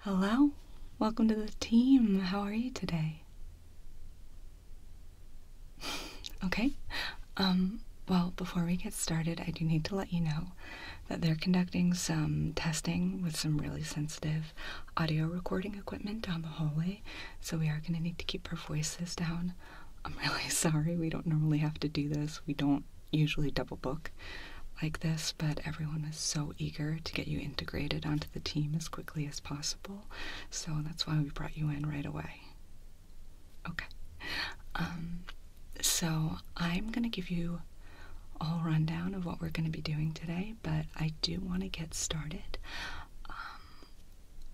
Hello, welcome to the team. How are you today? okay. Um, well, before we get started, I do need to let you know that they're conducting some testing with some really sensitive audio recording equipment down the hallway, so we are going to need to keep our voices down. I'm really sorry, we don't normally have to do this. We don't usually double book like this, but everyone is so eager to get you integrated onto the team as quickly as possible. So that's why we brought you in right away. Okay. Um, so I'm going to give you all rundown of what we're going to be doing today, but I do want to get started. Um,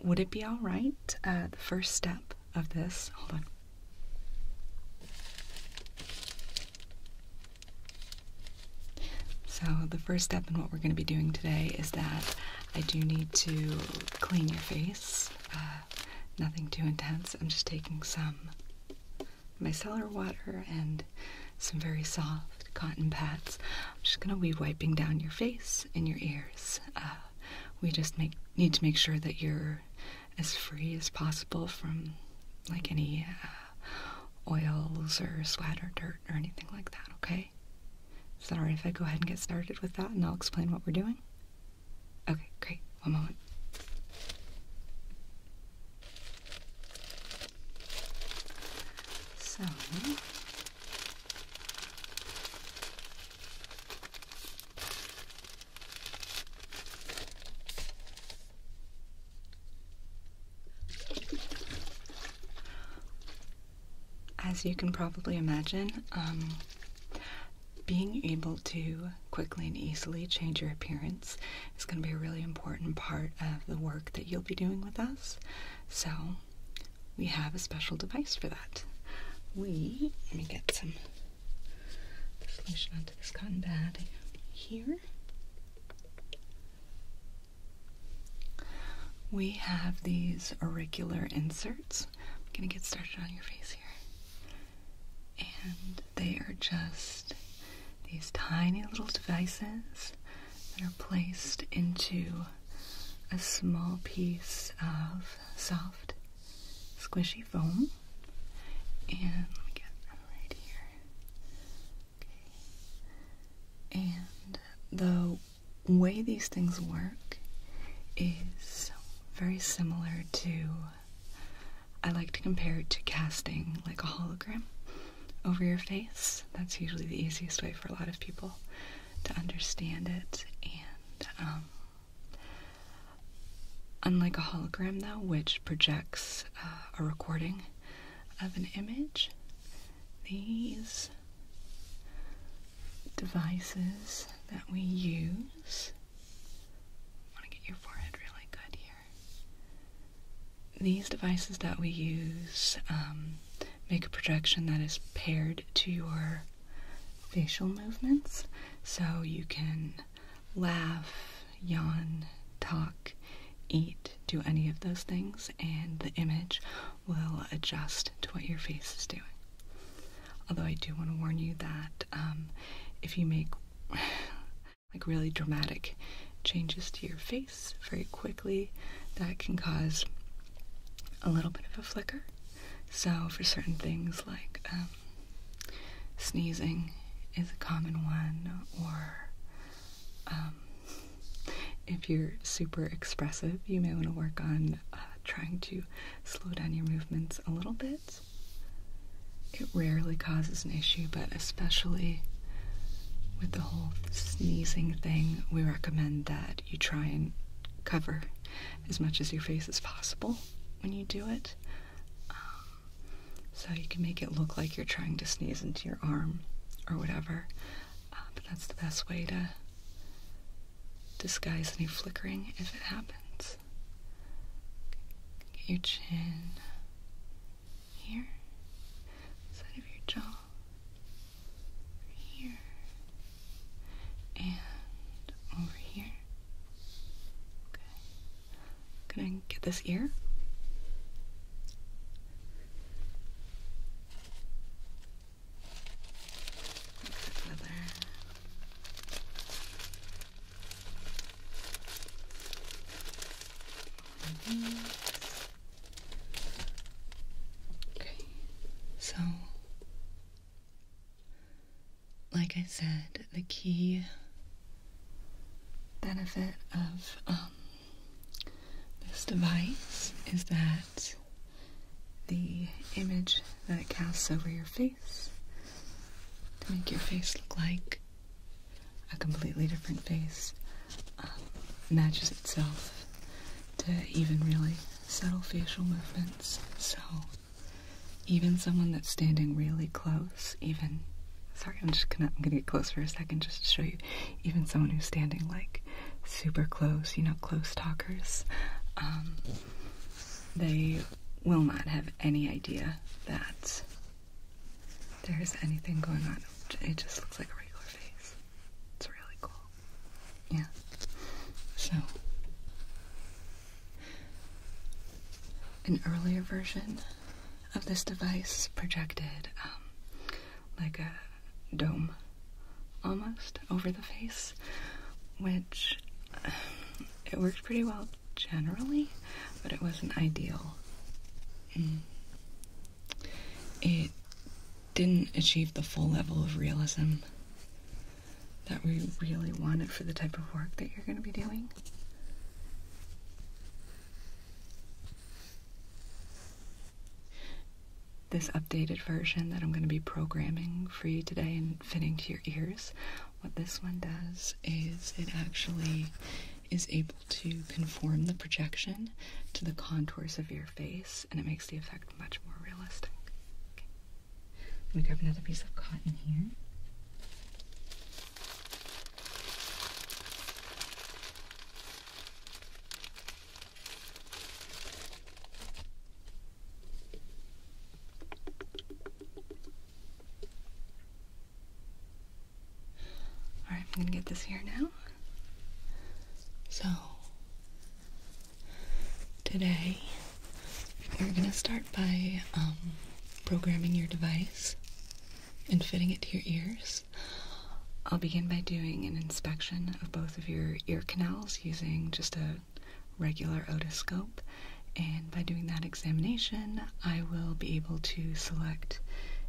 would it be all right? Uh, the first step of this, hold on. So the first step in what we're going to be doing today is that I do need to clean your face. Uh, nothing too intense. I'm just taking some my micellar water and some very soft cotton pads. I'm just going to be wiping down your face and your ears. Uh, we just make, need to make sure that you're as free as possible from like any uh, oils or sweat or dirt or anything like that, okay? Sorry if I go ahead and get started with that and I'll explain what we're doing? Okay, great. One moment. So as you can probably imagine, um, being able to quickly and easily change your appearance is going to be a really important part of the work that you'll be doing with us. So, we have a special device for that. We, let me get some solution onto this cotton pad here. We have these auricular inserts. I'm going to get started on your face here. And they are just these tiny little devices that are placed into a small piece of soft, squishy foam. And let me get them right here. Okay. And the way these things work is very similar to, I like to compare it to casting like a hologram over your face. That's usually the easiest way for a lot of people to understand it. And um, unlike a hologram, though, which projects uh, a recording of an image, these devices that we use. I want to get your forehead really good here. These devices that we use um, make a projection that is paired to your facial movements, so you can laugh, yawn, talk, eat, do any of those things and the image will adjust to what your face is doing. Although I do want to warn you that um, if you make like really dramatic changes to your face very quickly, that can cause a little bit of a flicker. So for certain things like um, sneezing is a common one, or um, if you're super expressive, you may want to work on uh, trying to slow down your movements a little bit. It rarely causes an issue, but especially with the whole sneezing thing, we recommend that you try and cover as much as your face as possible when you do it. Um, so you can make it look like you're trying to sneeze into your arm or whatever but that's the best way to disguise any flickering if it happens. Get your chin here, side of your jaw, here, and over here. Okay. i gonna get this ear. Okay, so like I said, the key benefit of um, this device is that the image that it casts over your face to make your face look like a completely different face matches um, itself to even really subtle facial movements. So even someone that's standing really close, even sorry, I'm just gonna get close for a second just to show you. Even someone who's standing like super close, you know, close talkers, um, they will not have any idea that there's anything going on. It just looks like a regular face. It's really cool. Yeah. So, an earlier version of this device projected um, like a dome almost over the face, which it worked pretty well generally, but it wasn't ideal. Mm. It didn't achieve the full level of realism that we really wanted for the type of work that you're going to be doing this updated version that I'm going to be programming for you today and fitting to your ears. What this one does is it actually is able to conform the projection to the contours of your face and it makes the effect much more realistic. Let me grab another piece of cotton here. All right, I'm gonna get this here now. So, today we're gonna start by um, programming your device and fitting it to your ears. I'll begin by doing an inspection of both of your ear canals using just a regular otoscope. And by doing that examination, I will be able to select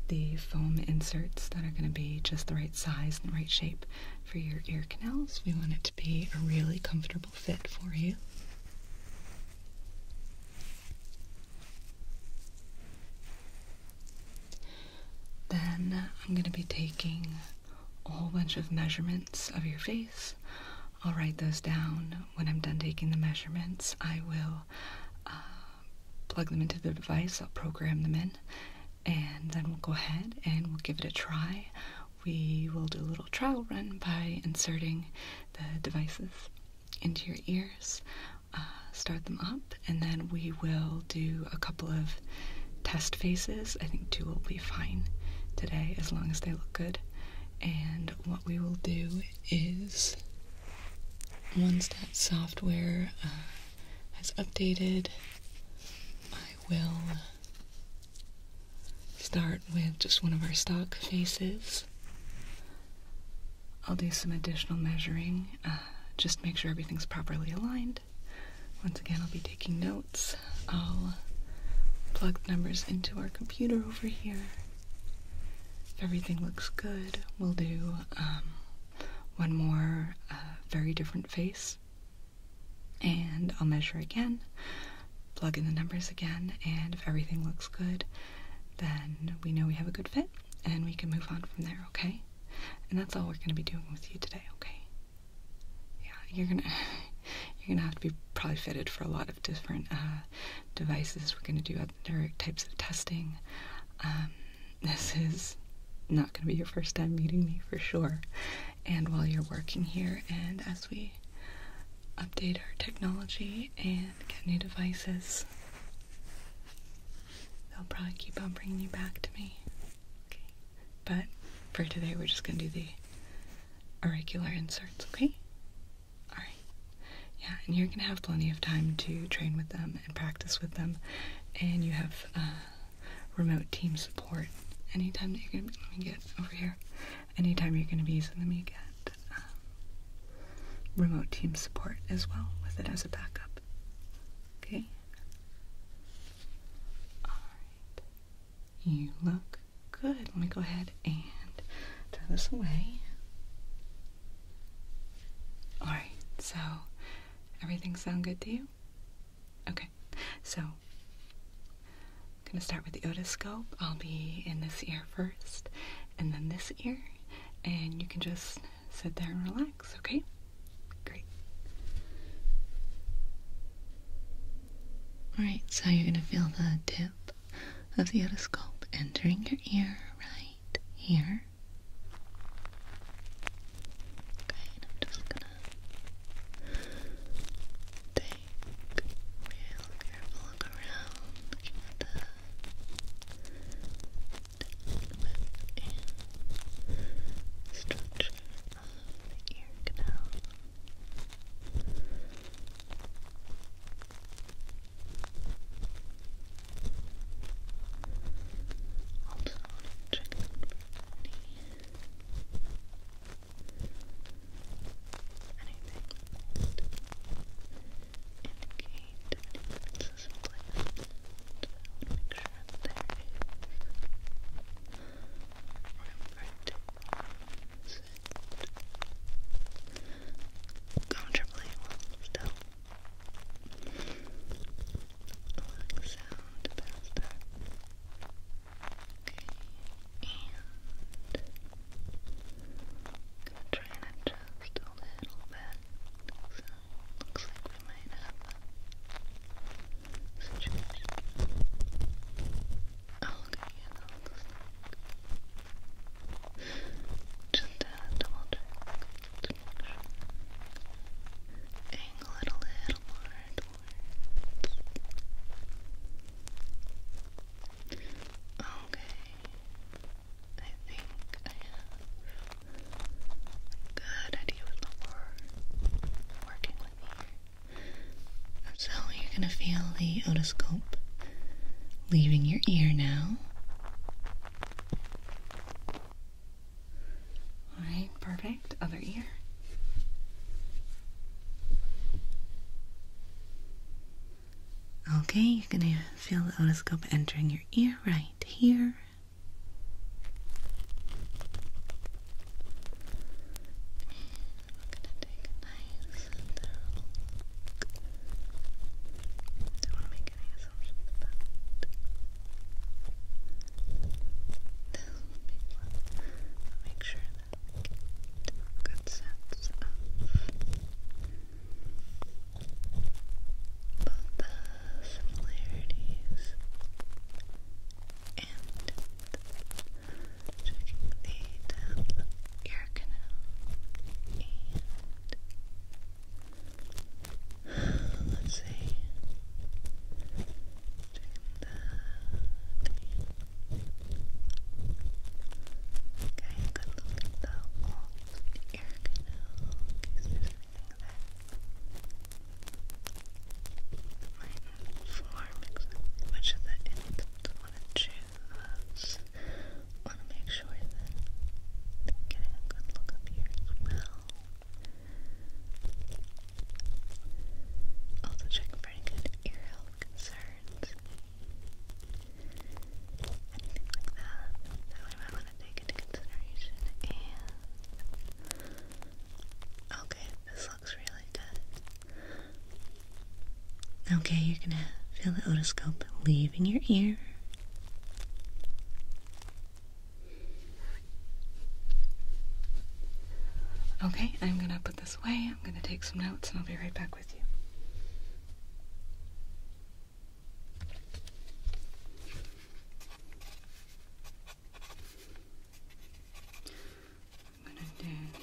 the foam inserts that are going to be just the right size and right shape for your ear canals. We want it to be a really comfortable fit for you. Then I'm going to be taking a whole bunch of measurements of your face. I'll write those down. When I'm done taking the measurements, I will uh, plug them into the device. I'll program them in, and then we'll go ahead and we'll give it a try. We will do a little trial run by inserting the devices into your ears, uh, start them up, and then we will do a couple of test faces. I think two will be fine today as long as they look good. And what we will do is once that software uh, has updated, I will start with just one of our stock faces. I'll do some additional measuring. Uh, just make sure everything's properly aligned. Once again, I'll be taking notes. I'll plug the numbers into our computer over here. If everything looks good, we'll do um, one more uh, very different face. And I'll measure again, plug in the numbers again, and if everything looks good, then we know we have a good fit and we can move on from there, okay? And that's all we're going to be doing with you today, okay? Yeah, you're gonna you're gonna have to be probably fitted for a lot of different uh, devices. We're gonna do other types of testing. Um, this is not gonna be your first time meeting me for sure. And while you're working here, and as we update our technology and get new devices, they'll probably keep on bringing you back to me. Okay. But for today, we're just gonna do the irregular inserts, okay? Alright. Yeah, and you're gonna have plenty of time to train with them and practice with them, and you have uh, remote team support. Anytime you're gonna be, get over here. Anytime you're gonna be using them, you get um, remote team support as well with it as a backup. Okay. Alright. You look good. Let me go ahead and throw this away. Alright, so everything sound good to you? Okay, so I'm gonna start with the otoscope. I'll be in this ear first, and then this ear, and you can just sit there and relax okay? Great. Alright, so you're going to feel the tip of the otoscope entering your ear right here. Okay, just gonna take real careful around, the with structure the ear canal. Also, check them for any anything that indicate any make sure there. Remember to sit comfortably while still. sound to Okay, and try and adjust a little bit. looks like we might have situation. I'll look at you just Just uh, double check Angle it a little more Okay. I think I have a good idea what the so you're going to feel the otoscope leaving your ear now. Alright, perfect. Other ear. Okay, you're going to feel the otoscope entering your ear right here take a nice and Don't want to make any assumptions about this big one. Make sure that good sense of both the similarities and checking the ear canal, and let's see, checking the okay, good look at the ear canal, in case anything there might inform which of the items want to make sure that i getting a good look up here as well. Also checking for any good ear concerns. like that. That we might want to take into consideration and Okay, this looks really good. Okay, you're gonna feel the otoscope leaving your ear. Okay, I'm gonna put this away. I'm gonna take some notes and I'll be right back with you. I'm gonna do the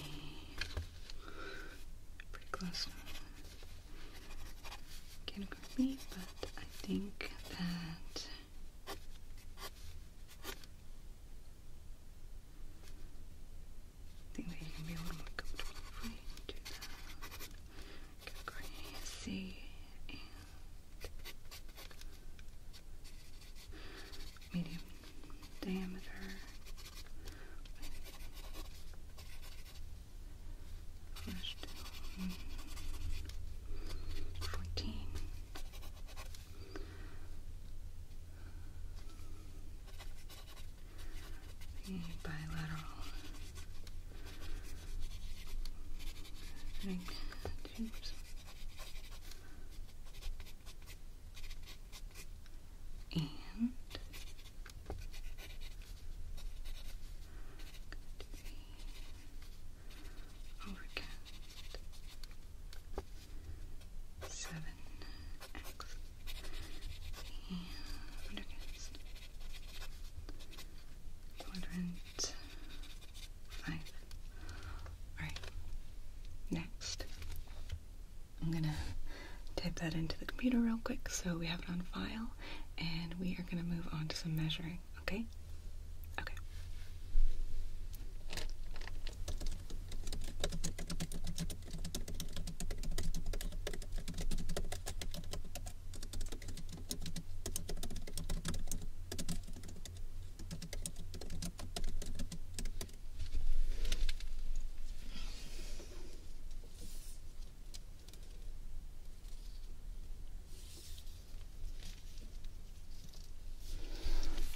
pretty but I think that I think that you can be a little do that. and medium diameter. fourteen. bilateral tubes. And could be seven X and quadrant five. Alright, next. I'm gonna type that into the computer real quick so we have it on file, and we are gonna move on to some measuring, okay? Okay.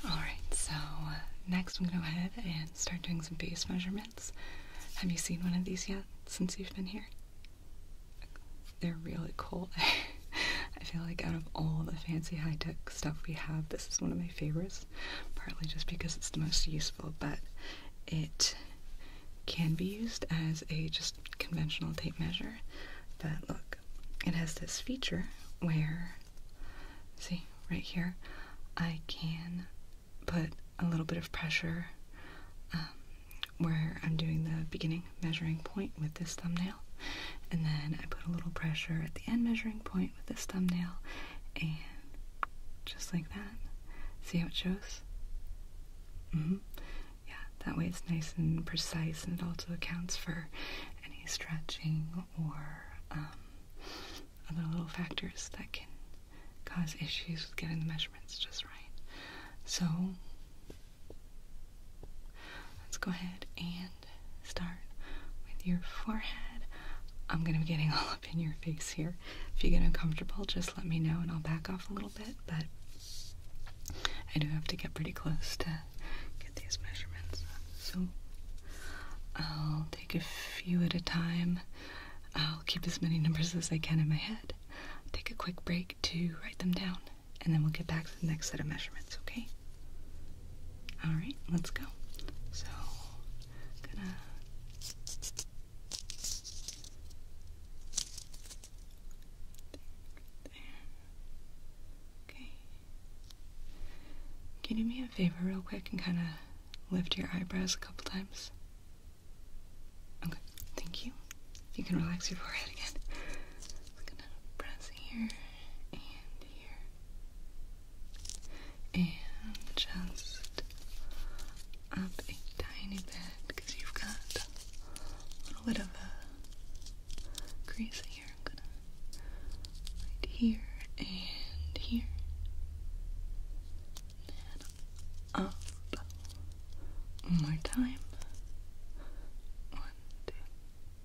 All right, so uh, next I'm gonna go ahead and start doing some base measurements. Have you seen one of these yet since you've been here? they're really cool. I feel like out of all the fancy high-tech stuff we have, this is one of my favorites, partly just because it's the most useful, but it can be used as a just conventional tape measure. But look, it has this feature where, see, right here, I can put a little bit of pressure um, where I'm doing the beginning measuring point with this thumbnail, and then I put a little pressure at the end measuring point with this thumbnail, and just like that. See how it shows? Mm-hmm. Yeah, that way it's nice and precise, and it also accounts for any stretching or um, other little factors that can cause issues with getting the measurements just right. So Let's go ahead and start with your forehead. I'm going to be getting all up in your face here. If you get uncomfortable, just let me know and I'll back off a little bit, but I do have to get pretty close to get these measurements. So I'll take a few at a time. I'll keep as many numbers as I can in my head. Take a quick break to write them down and then we'll get back to the next set of measurements, okay? Alright, let's go. So, gonna. Okay. Can you do me a favor, real quick, and kind of lift your eyebrows a couple times? Okay, thank you. You can relax your forehead again. gonna press here and here, and just up a tiny bit because you've got a little bit of a crease here. I'm gonna right here and here, and up one more time. One, two,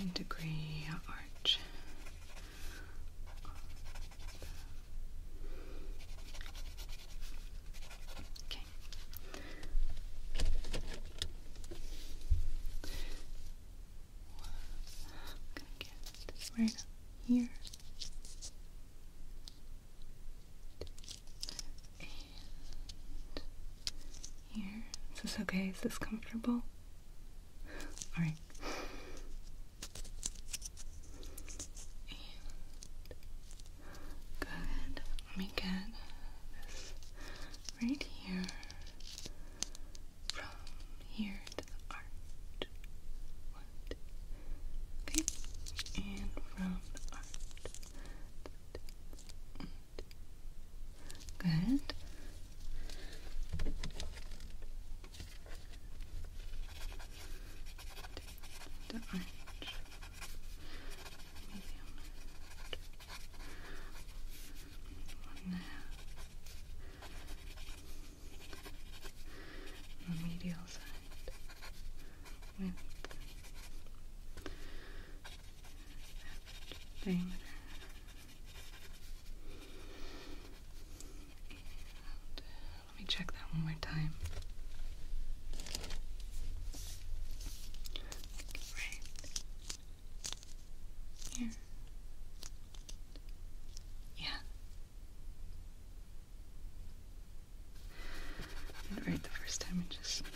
and degree arch okay I'm gonna get this right here is this okay? Is this comfortable? Alright. Good. Let me get this right here. From here to the art. Okay. And from the art. Good. The orange. Medium. One there. The medial side let me check that one more time. Right here. Yeah. right the first time and just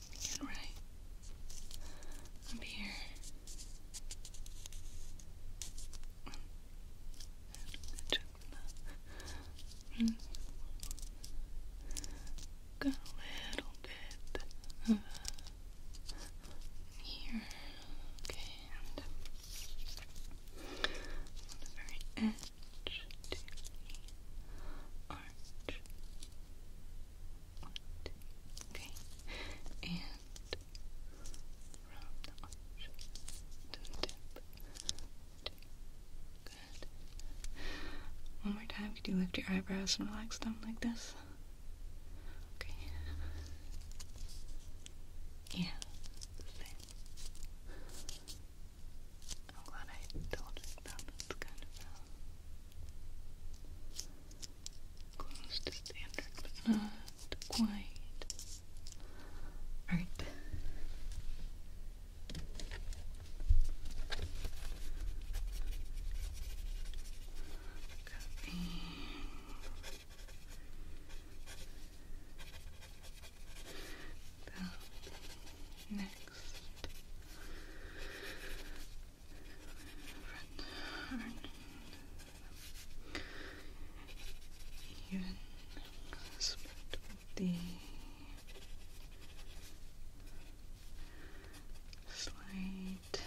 and right up here. And Got a little bit of here. Okay, on the very edge arch okay. And from the arch to Good. One more time. Could you lift your eyebrows and relax them like this? Okay. Yeah. Same. I'm glad I told you that's kind close to standard, but not quite. Alright. next even with the slight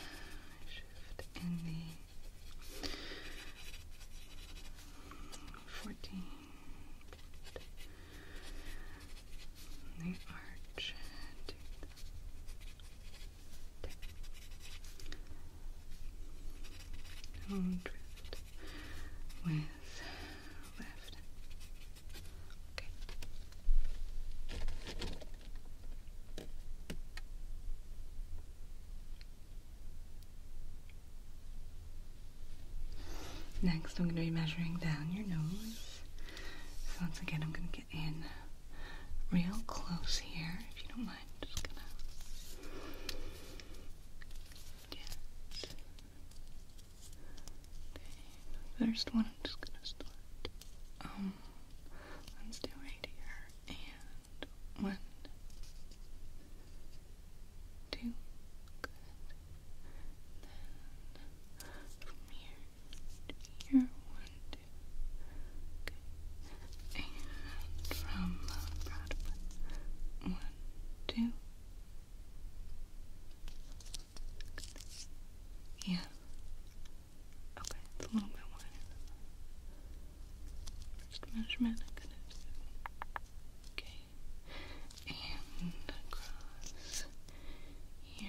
shift in the fourteen the arch to the and drift with left. Okay. Next, I'm going to be measuring down your nose. So, once again, I'm going to get in real close here, if you don't mind. just gonna get First one, I'm just gonna start. Um, let's do right here and one, two. Good. Then from here to here, one, Okay. And from One, two. Yeah. Okay, it's a little bit wider First measurement Okay. And across here.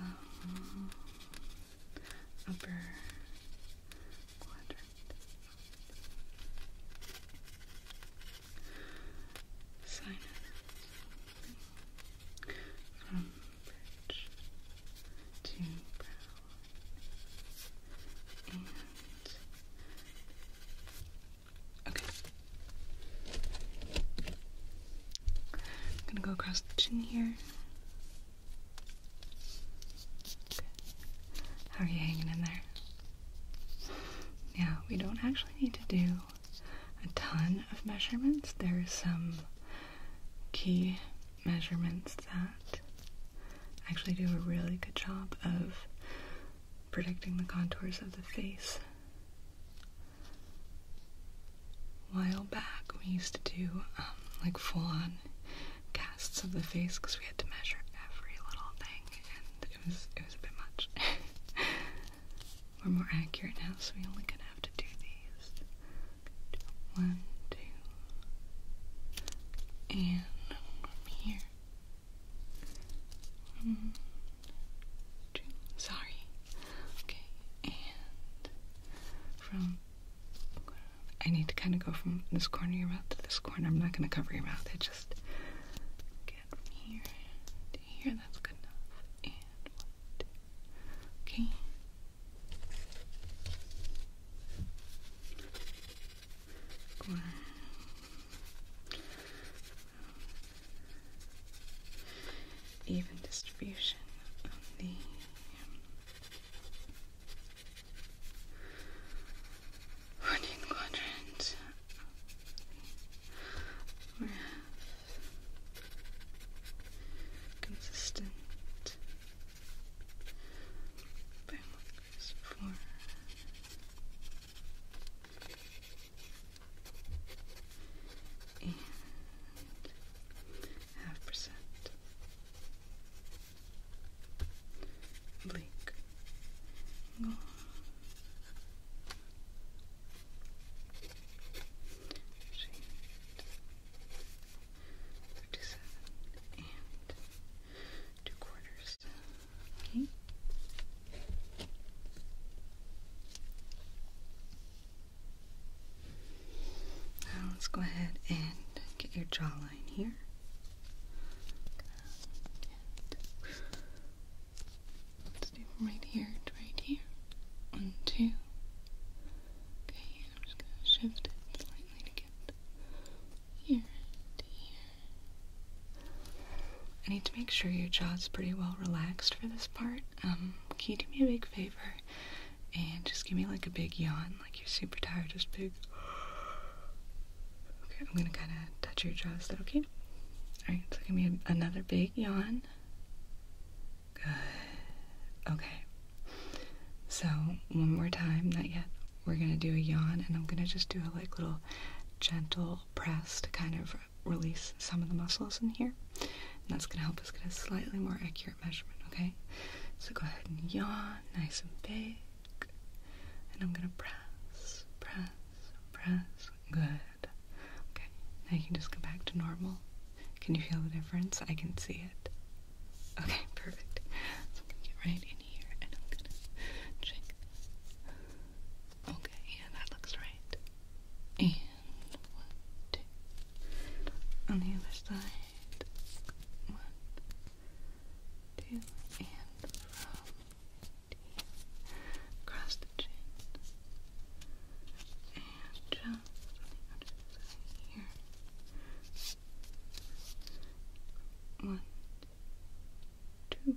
um, upper quadrant. Sinus from bridge to brow and okay. I'm gonna go across the chin here. How are you hanging in there? Yeah, we don't actually need to do a ton of measurements. There are some key measurements that actually do a really good job of predicting the contours of the face a while back, we used to do um, like full on casts of the face because we had to measure every little thing, and it was it was a bit much. We're more accurate now, so we only gonna have to do these one, two, and here. Hmm. Sorry. Okay, and from I need to kind of go from this corner of your mouth to this corner. I'm not going to cover your mouth. I just get from here to here. That's good enough. And one, even distribution on the fourteenth um, quadrant. We consistent frameworks for and half percent blink angle and two quarters. Now let's go ahead and get your jawline here. Let's do from right here right here. One, two. Okay, I'm just gonna shift it slightly to get here to here. I need to make sure your jaw's pretty well relaxed for this part. Um, can you do me a big favor and just give me like a big yawn, like you're super tired, just big. Okay, I'm gonna kind of touch your jaw. Is that okay? All right, so give me another big yawn. Good. Okay. So one more time, not yet. We're gonna do a yawn, and I'm gonna just do a like little gentle press to kind of release some of the muscles in here. And that's going to help us get a slightly more accurate measurement, okay? So go ahead and yawn nice and big. And I'm going to press, press, press. Good. Okay, now you can just go back to normal. Can you feel the difference? I can see it. Okay, perfect. I'm going to get right in here and I'm going to check. Okay, yeah, that looks right one, two. On the other side, one, two, and from across the chin, and just One, two,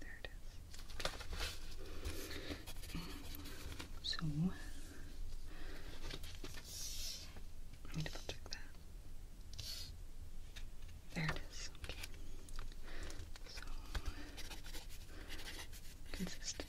There it is. So let me double check that. There it is. Okay. So consistent.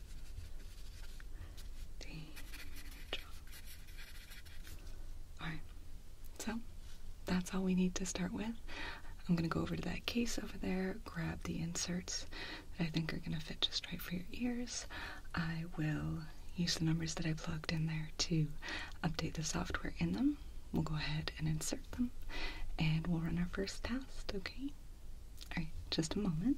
Alright, so that's all we need to start with. I'm gonna go over to that case over there, grab the inserts that I think are gonna fit just right for your ears. I will use the numbers that I plugged in there to update the software in them. We'll go ahead and insert them and we'll run our first test, okay? Alright, just a moment.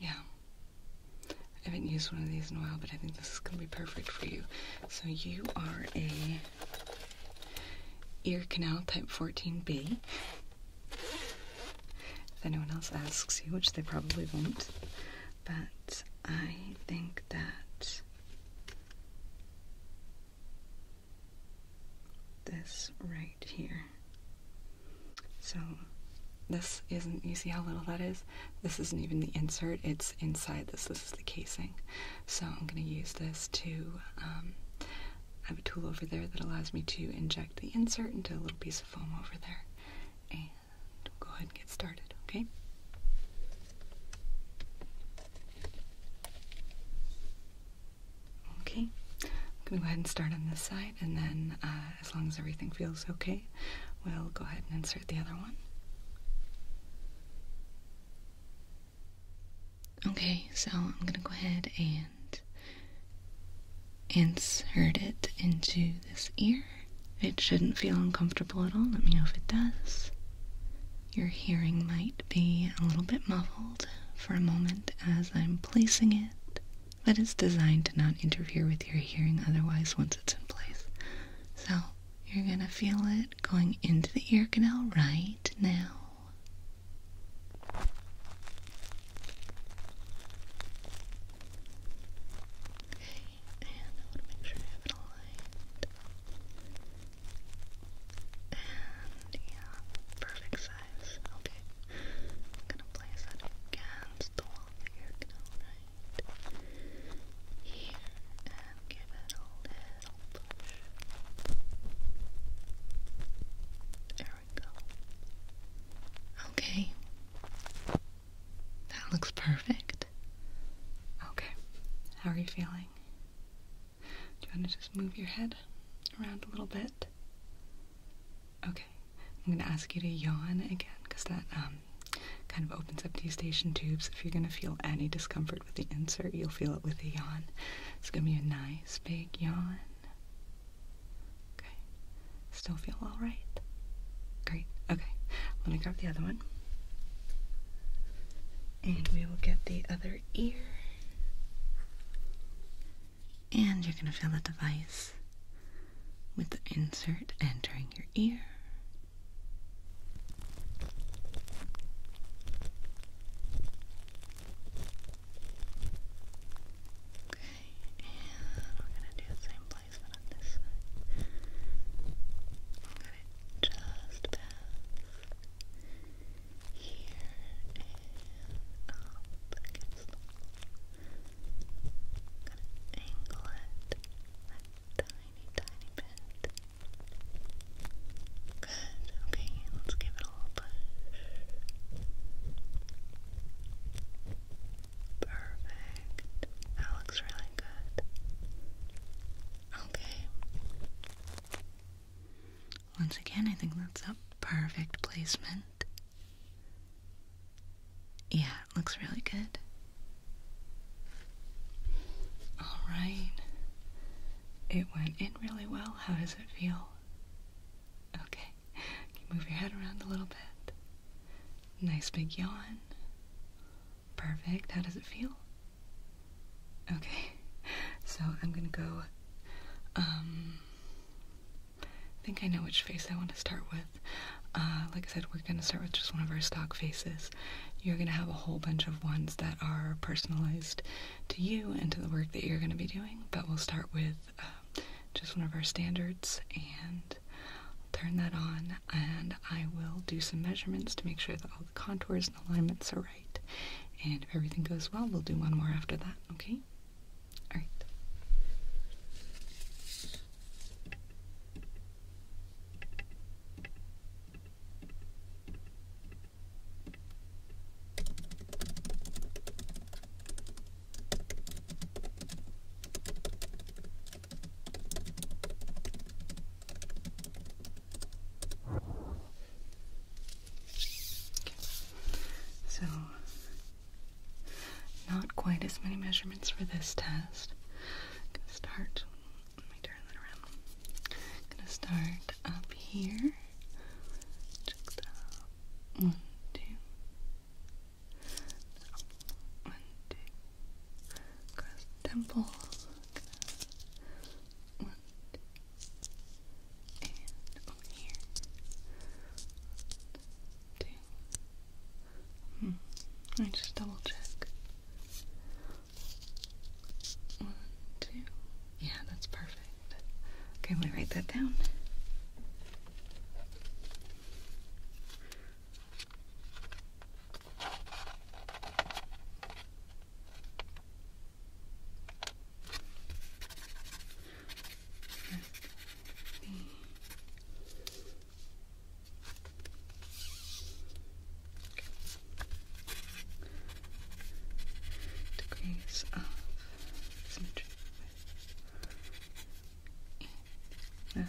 Yeah. I haven't used one of these in a while, but I think this is going to be perfect for you. So you are a ear canal type 14B. If anyone else asks you, which they probably won't, but I think that this right here. So this isn't, you see how little that is? This isn't even the insert, it's inside this, this is the casing. So I'm going to use this to, um, I have a tool over there that allows me to inject the insert into a little piece of foam over there go ahead and get started, okay? Okay, I'm gonna go ahead and start on this side, and then uh, as long as everything feels okay, we'll go ahead and insert the other one. Okay, so I'm gonna go ahead and insert it into this ear it shouldn't feel uncomfortable at all. Let me know if it does. Your hearing might be a little bit muffled for a moment as I'm placing it, but it's designed to not interfere with your hearing otherwise once it's in place. So you're going to feel it going into the ear canal right now and I want to make sure I have it aligned. And yeah, perfect size. Okay, I'm gonna place that against the wall here, right here, and give it a little push. There we go. Okay, that looks perfect. Okay. How are you feeling? Do you want to just move your head around a little bit? Okay. I'm going to ask you to yawn again because that um, kind of opens up the station tubes. If you're going to feel any discomfort with the insert, you'll feel it with the yawn. It's going to be a nice big yawn. Okay. Still feel alright? Great. Okay. Let me grab the other one. And we will get the other ear. And you're going to feel the device with the insert entering your ear. Okay, and we're going to do the same placement on this side just past here and up Gonna angle it a tiny, tiny bit. Good, okay, let's give it a little push. Perfect. That looks really good. Okay. Once again, I think that's a perfect placement. Yeah, it looks really good. Alright. It went in really well. How does it feel? Okay. move your head around a little bit. Nice big yawn. Perfect. How does it feel? Okay. So I'm gonna go. Um, think I know which face I want to start with. Uh, like I said, we're gonna start with just one of our stock faces. You're gonna have a whole bunch of ones that are personalized to you and to the work that you're gonna be doing, but we'll start with uh, just one of our standards and turn that on and I will do some measurements to make sure that all the contours and alignments are right. And if everything goes well, we'll do one more after that, okay? Alright. So, not quite as many measurements for this test. gonna start, let me turn that around. gonna start up here. One, two. One, two temple. One, and over here. two. Hmm. Let me just double check. One, two. Yeah, that's perfect. Okay, let me write that down degrees of symmetry. Yes.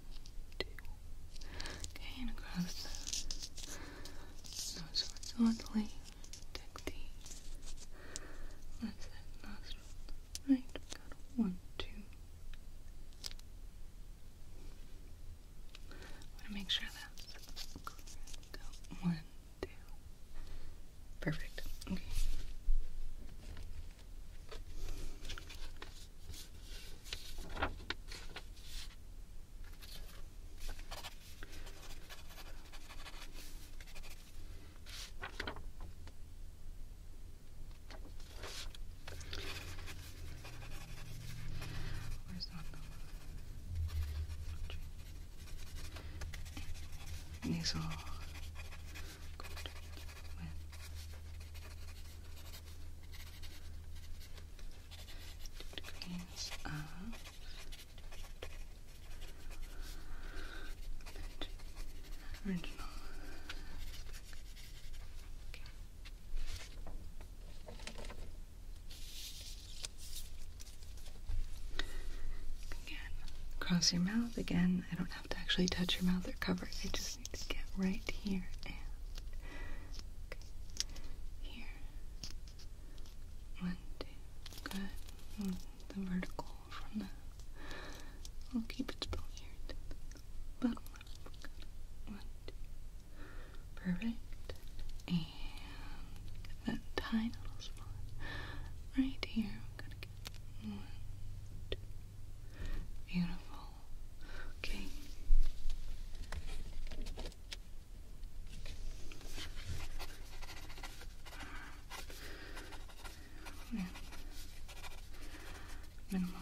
Okay, and across the nose horizontally. Take the left side Right, got one, two. want to make sure that's One, two. Perfect. Okay. Where's that and these are covered with Two across your mouth. Again, I don't have to actually touch your mouth or cover. I just Let's get right here and here. One, two, good. Hmm, the vertical from the. I'll keep it still here One, two. Perfect. And that tiny little spot right here. one, two, Beautiful. Okay. Minimal.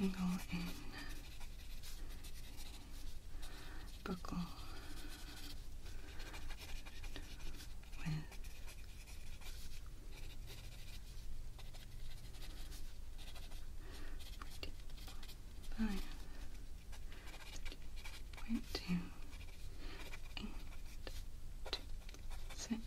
Angle in. Buckle two, eight, two, six.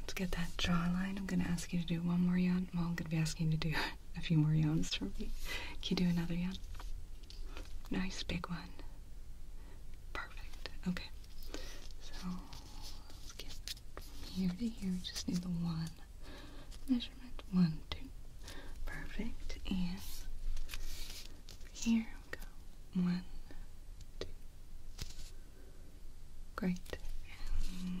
Let's get that jawline. I'm going to ask you to do one more yawn. I'm going to be asking you to do a few more yawns from me. Can you do another yawn? Nice big one. Perfect. Okay. So let's get from here to here. We just need the one measurement. One, two. Perfect. And here we go. One, two. Great. And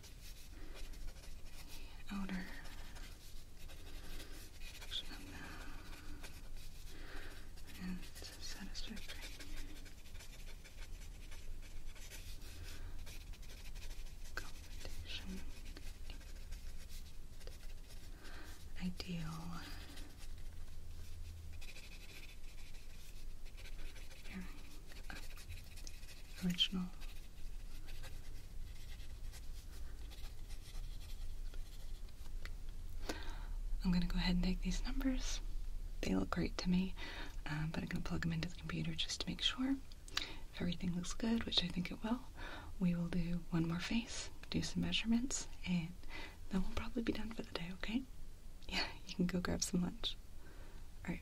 the outer section of the and satisfactory. Competition ideal pairing up original. I'm gonna go ahead and take these numbers. They look great to me, um, but I'm gonna plug them into the computer just to make sure. If everything looks good, which I think it will, we will do one more face, do some measurements, and then we'll probably be done for the day, okay? Yeah, you can go grab some lunch. Alright,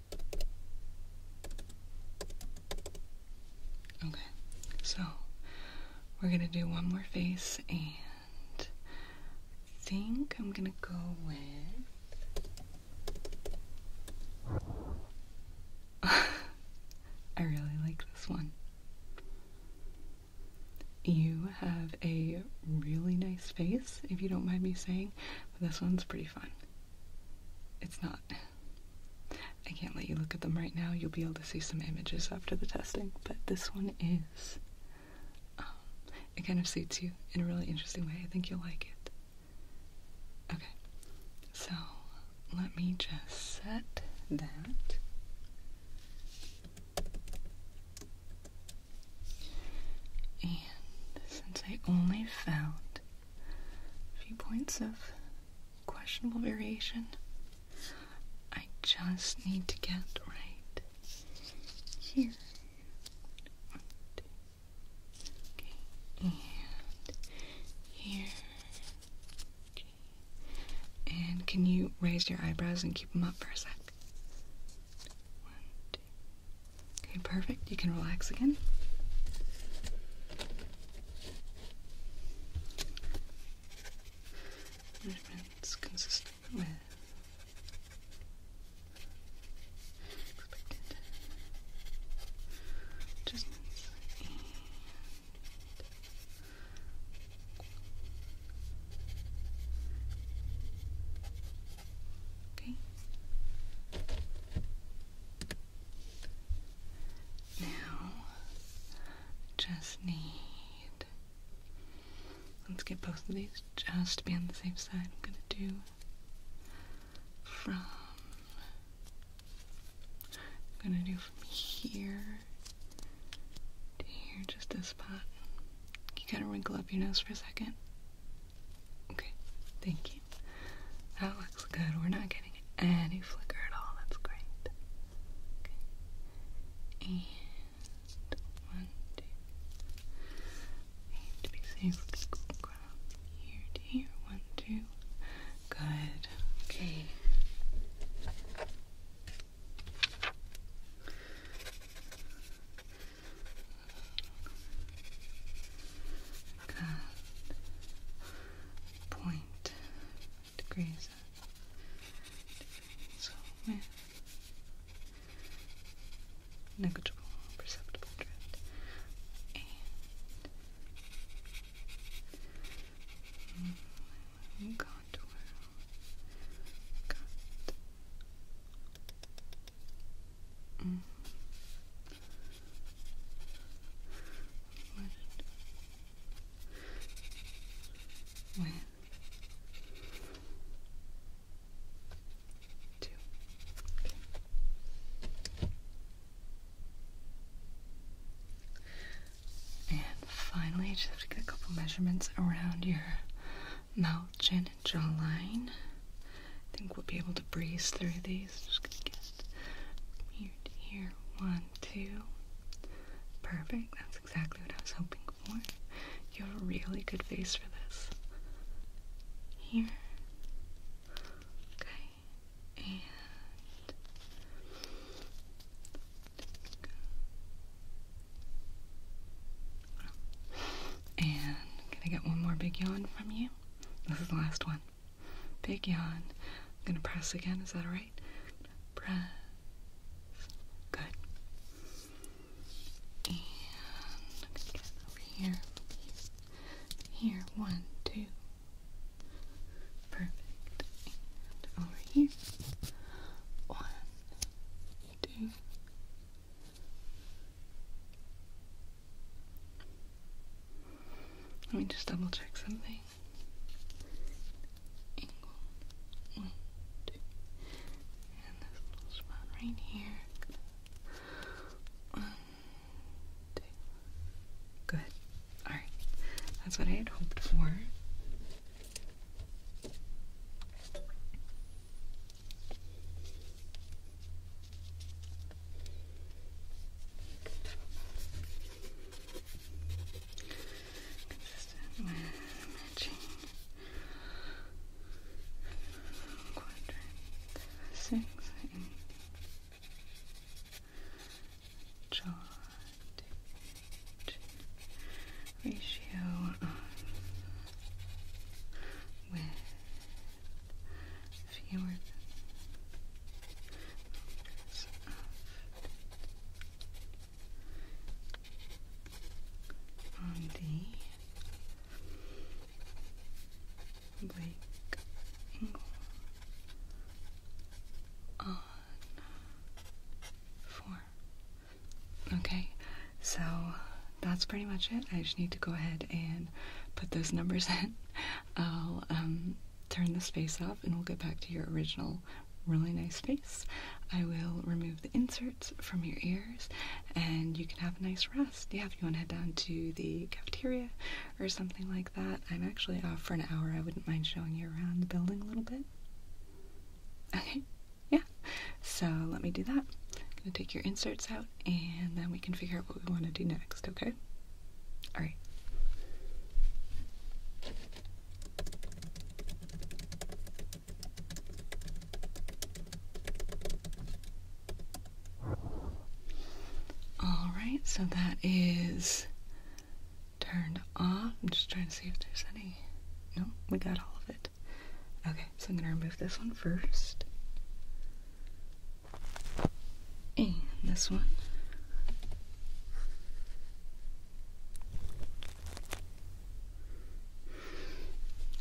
Okay, so we're gonna do one more face, and I think I'm gonna go with. I really like this one. You have a really nice face, if you don't mind me saying, but this one's pretty fun. It's not. I can't let you look at them right now. You'll be able to see some images after the testing, but this one is. Um, it kind of suits you in a really interesting way. I think you'll like it. Okay, so let me just set that. And since I only found a few points of questionable variation. I just need to get right here. Okay, and here. And can you raise your eyebrows and keep them up for a sec? Okay, perfect. You can relax again. Measurements consistent with expected adjustments Okay. Now, just need. Let's get both of these just to be on the same side. I'm gonna do from. I'm gonna do from here to here, just this spot. You gotta wrinkle up your nose for a second. Okay, thank you. That looks good. We're not getting any flicker at all. That's great. one, two. need to be safe with the ground. Here to here. One, two. Good. Okay. Good point degrees. So with negligible perceptible drift one. When. Two. And finally, just have to get a couple measurements around your mouth, chin, and jawline. I think we'll be able to breeze through these. Just gonna get just here One, two. Perfect. That's exactly what I was hoping for. You have a really good face for this. Here. Okay. And can I get one more big yawn from you? This is the last one. Big yawn. I'm gonna press again. Is that alright? Press. Good. And over Here. here. One, two. Perfect. And over here. One, two. Let me just double check something. One, two. And this little spot right here. One, two. Good. Alright. That's what I had hoped for. Consistent with matching quadrant six in chart ratio of width fewer on the Blake on four. Okay, so that's pretty much it. I just need to go ahead and put those numbers in. I'll um, turn the space off and we'll get back to your original really nice face. I will remove the inserts from your ears and you can have a nice rest. Yeah, if you want to head down to the cafeteria or something like that, I'm actually off for an hour. I wouldn't mind showing you around the building a little bit. Okay, yeah. So let me do that. I'm going to take your inserts out and then we can figure out what we want to do next, okay? All right. All right, so that is turned off. I'm just trying to see if there's any. No, we got all of it. Okay, so I'm going to remove this one first and this one.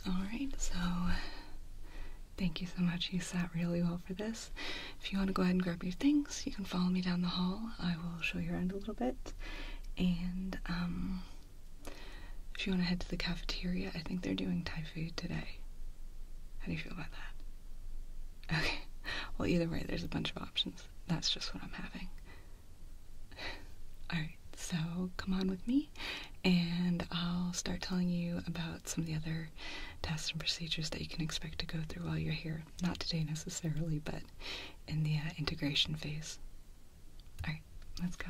Alright, so thank you so much. You sat really well for this. If you want to go ahead and grab your things, you can follow me down the hall. I will show you around a little bit. And um, if you want to head to the cafeteria, I think they're doing Thai food today. How do you feel about that? Okay, well, either way, there's a bunch of options. That's just what I'm having. Alright, so come on with me, and I'll start telling you about some of the other tests and procedures that you can expect to go through while you're here. Not today necessarily, but in the uh, integration phase. Alright, let's go.